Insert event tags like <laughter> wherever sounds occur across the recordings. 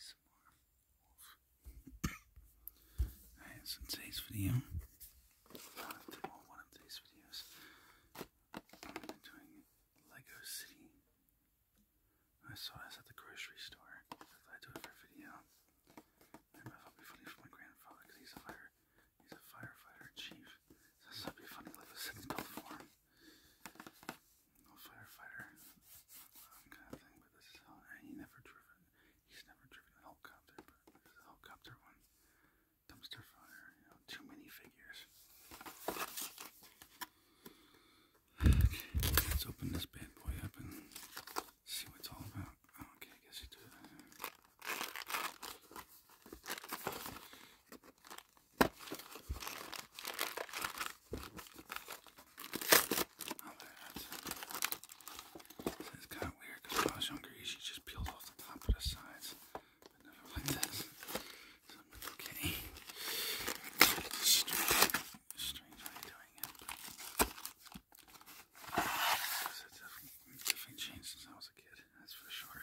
some more wolf. Alright, so in today's video, well, one of today's videos, I'm doing Lego City. I saw this at the grocery store, I do it for video. I thought it would be funny for my grandfather because he's a fire, he's a firefighter chief. So would be funny to city built for him firefighter kind of thing, but this he never driven. He's never driven a helicopter, but this a helicopter one. Dumpster fire, too many figures. let's open this bad boy up and see what it's all about. okay, guess you do that. This kind of weird because when I was younger, you just peeled off the top of the sides, but never <laughs> like this. okay. It's strange, it's strange way doing it, but definitely changed since I was a kid, that's for sure.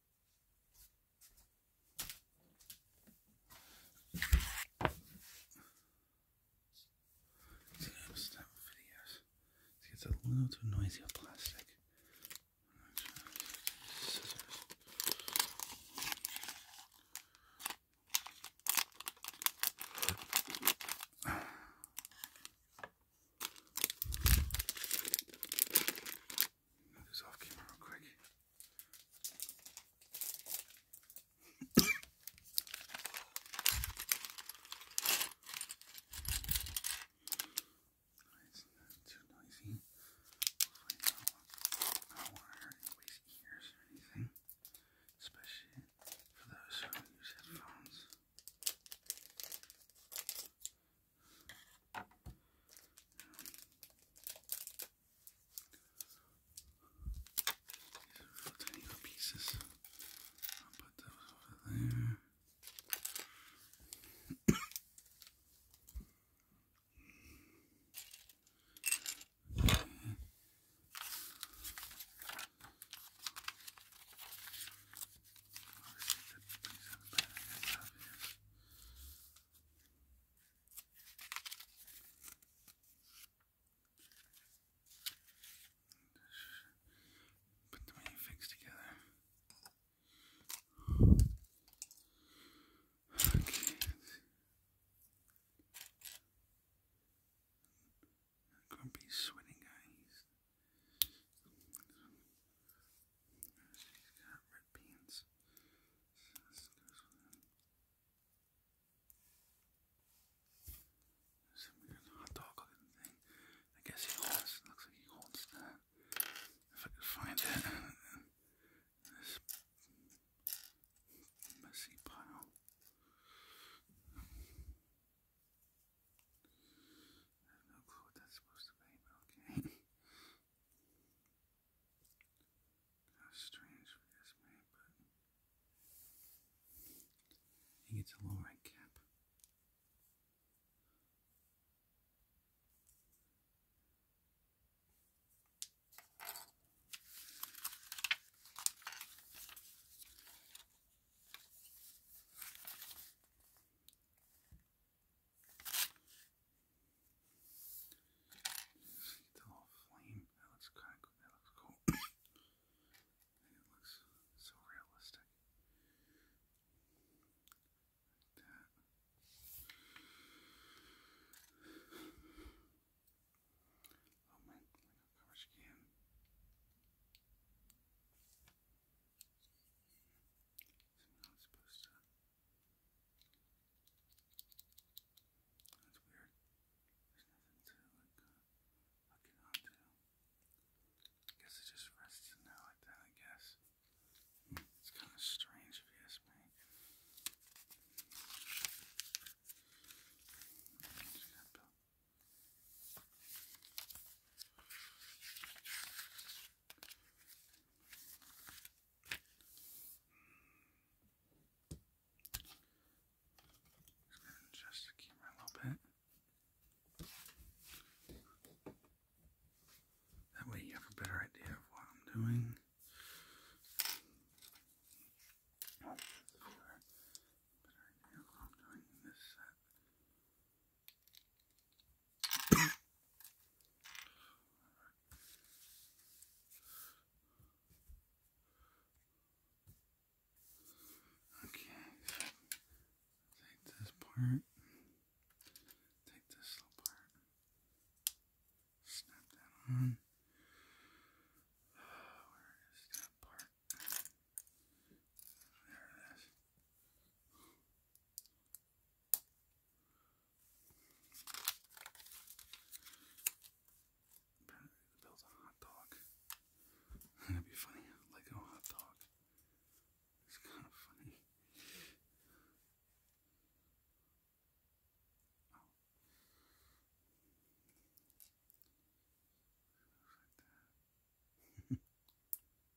See, I'm stopping videos. It gets a little too noisy with plastic. Scissors. Move this off camera real quick. it's not too noisy. I don't want to hurt anybody's ears or anything, especially for those who use headphones. These are pieces. I'll put those over there. Obviously, that brings up back stuff here. Just put the many figs together. sweating guy. He's got red beans. So this goes with him. Some weird hot dog looking thing. I guess he holds, looks like he holds that. If I could find it. Uh, this <laughs> messy pile. I have no clue what that's supposed to be, but okay. How strange for this man, but I think a low rank cap. See the little flame. That looks kind of cool. That looks cool. <coughs> it looks so realistic. Like that. Oh my, like a garbage can. So we not supposed to. That's weird. There's nothing to like uh, hook I guess it just rests in like that. I guess it's kind of strange if you ask me. Just to keep my little bit. That way you have a better idea of what I'm doing. Better idea of what I'm doing in this set. Okay, take this part, take this little part, snap that on. where is that part? There it is. Build a hot dog. <laughs> That'd be funny. Lego hot dog. It's kind of funny. Oh. <laughs> Like that. <laughs>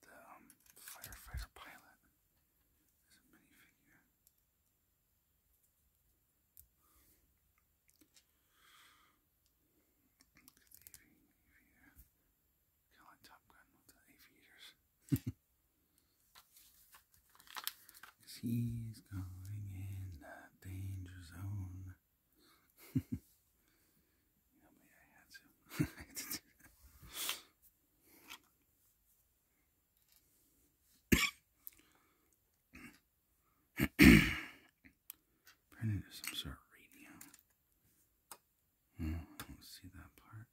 the um, firefighter pilot is a minifigure. Look at the avi aviator. of the aviators. <laughs> he's going in the danger zone. <laughs> I had Printed some sort of radio. don't see that part.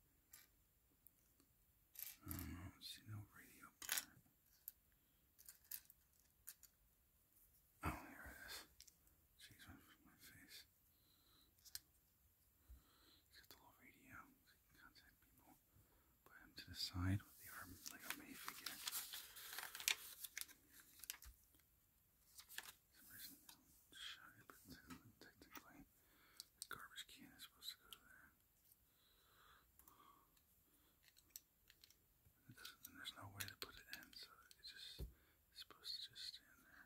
don't see no radio part. Oh, here it is. Jeez, went from my face. He's got the little radio, contact people. Put him to the side with the arm, like a Mayfigure. shy, but technically, the garbage can is supposed to go there. there's no way to put it in, so it just, supposed to just stand there.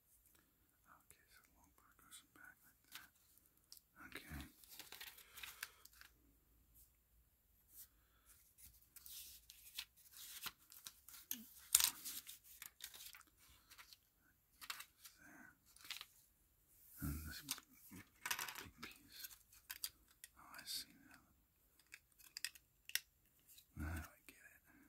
Okay, so long part goes back like that. Okay. There. And this big piece. Oh, I see now. Now I get it.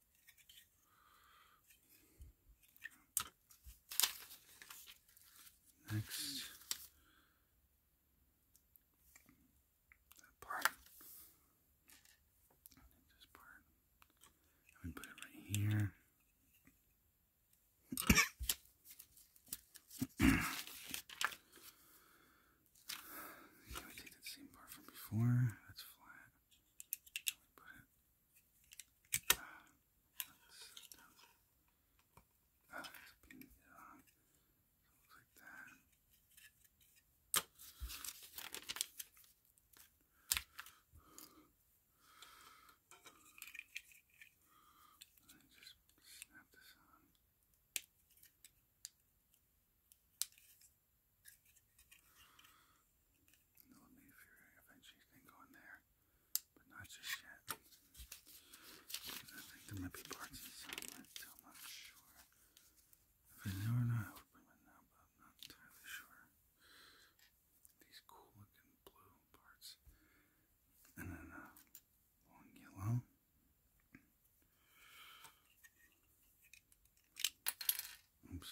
Next, that part. This part. i put it right here. <coughs> we take that same part from before. That's flat. Put it uh, that's, that's been, uh, like that. just snap this on. It'll be eventually can go in there, but not just yet. I think there might be parts I'm not sure. If I knew or not, I it now, but I'm not entirely sure. These cool looking blue parts. And then a uh, long yellow. Oops.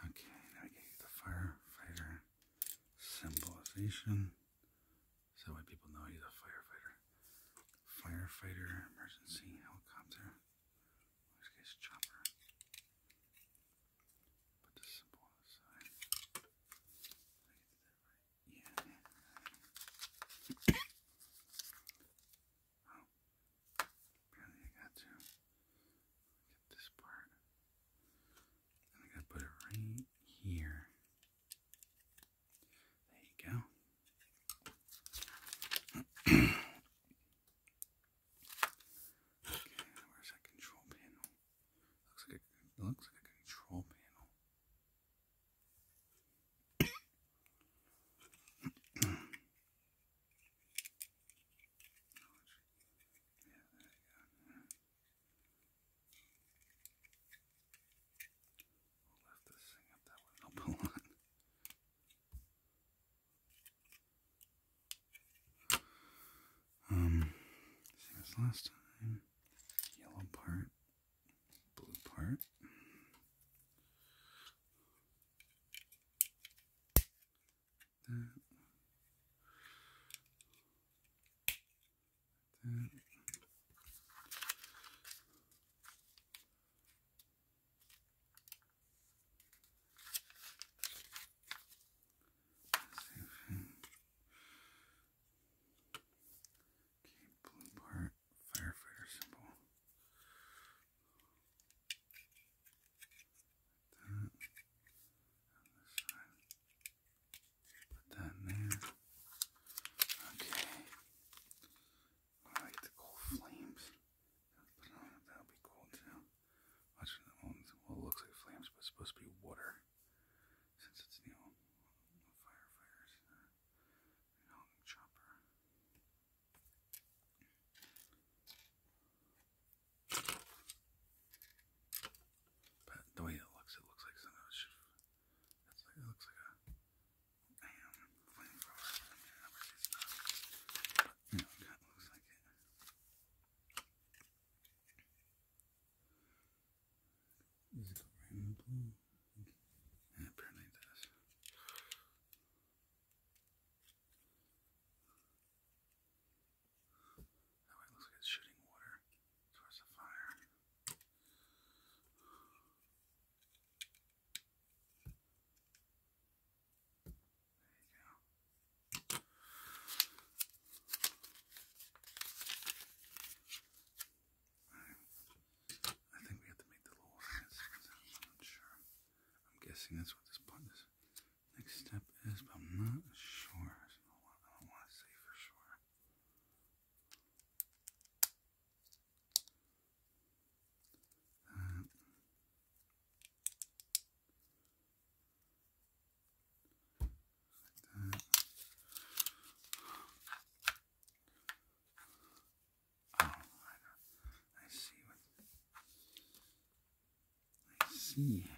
Okay, now get the firefighter symbolization. So that people know he's a firefighter. Firefighter, emergency, helicopter. this case, chopper. Put the symbol on I get that right? Yeah. <coughs> oh. Apparently I got to get this part. I gotta put it right here. There you go. Okay, where's that control panel? Looks like a, looks like a control panel. yeah, there you go. <coughs> We'll lift this thing up that would help a lot. Um, see this last time. Yellow part, blue part. That. That. Same thing. Okay, blue part, firefighter symbol. that. On this side. Put that there. Okay. I the cool flames. that'll be cool too well, it looks like flames, but it's supposed to be water. Since it's, you firefighters, uh, chopper. But the way it looks, it looks like something it looks like a, damn, flamethrower. I mean, it looks like it. Does oh, it go apparently does. That way looks like it's shooting water towards the fire. I think we have to make the little hands. I'm not sure. I'm guessing that's what this button is. Next step is, but I'm not sure. I don't want to say for sure. Uh, like that. Oh, I, I see what I see.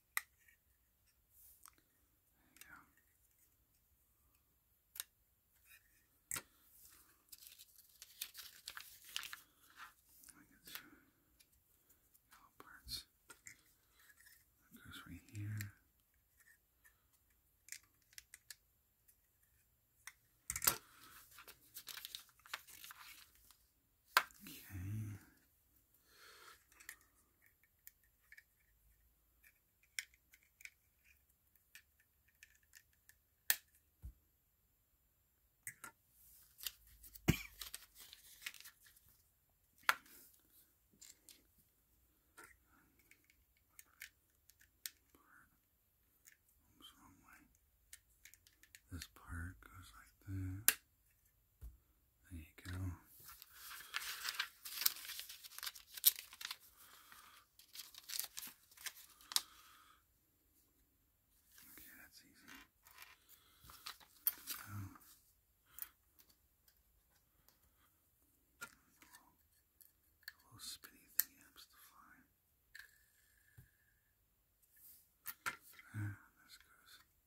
There you go. yellow parts. goes right here. Okay. This part goes like that. There you go. Okay, that's easy. So, a little, a little helps to fly. Ah, this goes.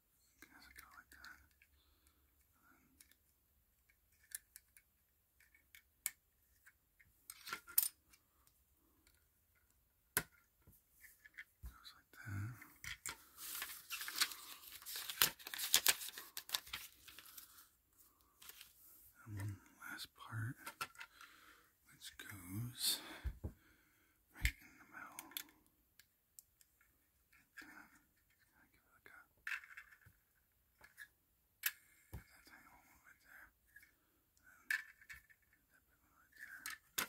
As it like that. goes like that. And one last part which goes right in the middle. I give it a go. Put that thing on there. And that big one right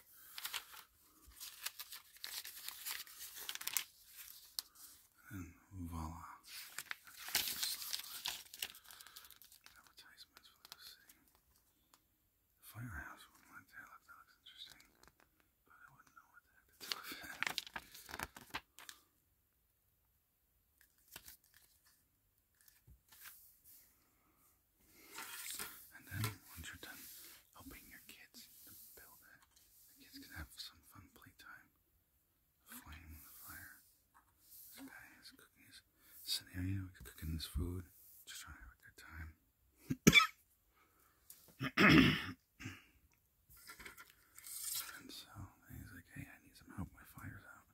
And voila. Advertisements for this thing. Firehouse one right that looks interesting. I wouldn't And then once you're done helping your kids build it, the kids can have some fun playtime. Flame the fire. This guy is cooking his scenario, cooking his food, just trying to have a good time. And so he's like, hey, I need some help. My fire's out.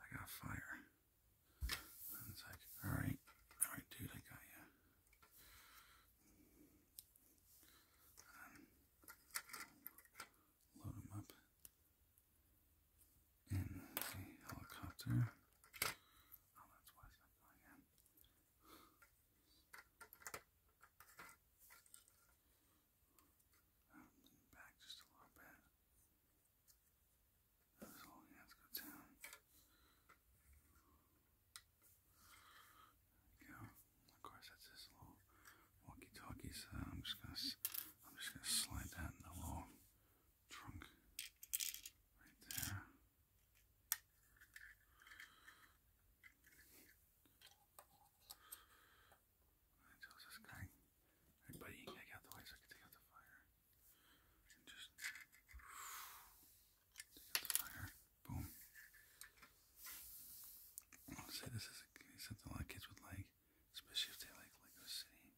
I got fire. And it's like, alright, alright, dude, I got you. Um, load him up in a helicopter. Oh, that's why it's not going in. Um, lean back just a little bit. Those whole hands go down. There we go. Of course, that's this little walkie-talkie. So I'm just gonna, I'm just gonna slide that in the little trunk right there tells this guy, hey buddy, you gotta out the way I can take out the fire. And just take out the fire. Boom. I'll say this is something a lot of kids would like, especially if they like Lego City.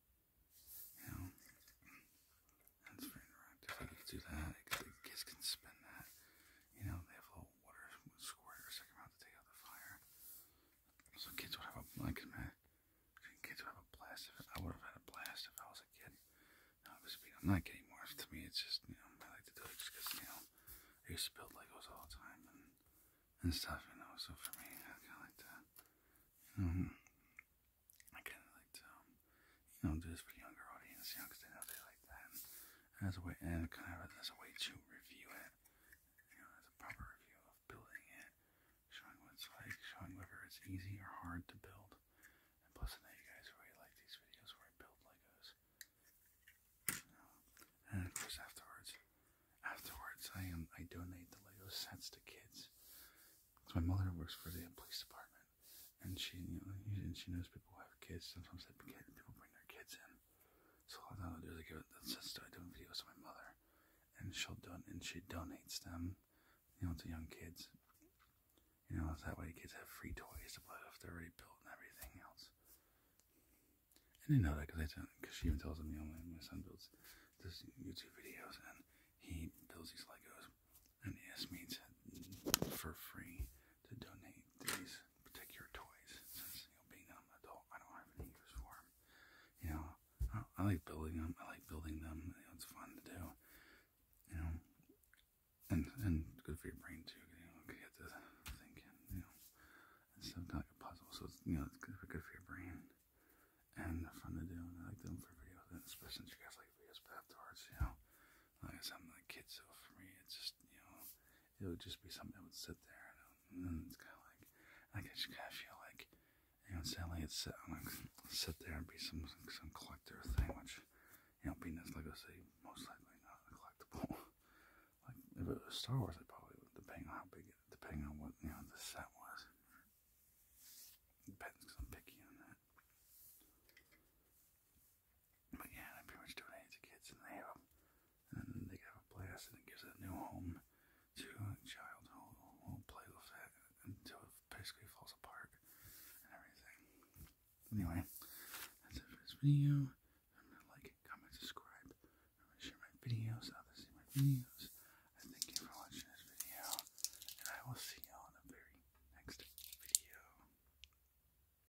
You know, that's very interactive. They can do that. Kids can spin that. You know, they have little water squirter second round to take out the fire. So kids would have a like kids would have a blast. If, I would have had a blast if I was a kid. Now obviously I'm not kidding more. To me, it's just you know I like to do it just because you know I used to build Legos all the time and and stuff. You know, so for me, I kind of like to you um, know I kind of like to um, you know do this for the younger audience, you know, because they know they like that. And, as a way kind of as a to review it, you know, as a proper review of building it, showing what like, showing whether it's easy or hard to build. And plus, I know you guys really like these videos where I build Legos. and of course, afterwards, afterwards, I am I donate the Lego sets to kids. So my mother works for the police department, and she and she knows people who have kids. Sometimes they people bring their kids in. So a lot of times I'll do like a, since I do videos to my mother, and she'll don and she donates them, you know, to young kids. You know, that way the kids have free toys to play with. They're already built and everything else. I didn't know that because she even tells them, you know, my son builds this YouTube videos and he builds these Legos, and he asked me to, for free to donate these particular toys since, you know, being that I'm an adult, I don't have any use for them. You know, I, I like building them. I like building them. You know, it's fun to do. You know, and and good for your brain too. You know, you get to thinking. You know, and stuff kind of like a puzzle. So it's, you know, it's good for good for your brain and fun to do. And I like doing for videos, and especially since you guys like videos. But afterwards, you know, like something like kids. So for me, it's just you know, it would just be something that would sit there, you um, know? and it's kind of like like I just kind of feel like you know, sadly, it's uh, like sit there and be some some collector thing, which you know, being this Lego City, most likely not a collectible. <laughs> like if it was Star Wars, I probably would, depending on how big, it, depending on what you know the set was. Depends, cause I'm picky on that. But yeah, I pretty much donate to kids and they have And they have a blast and it gives a new home to a child who will play with it until it basically falls apart and everything. Anyway, that's it for this video. like, comment, subscribe. share my videos others see my videos. I thank you for watching this video and I will see you all in the very next video.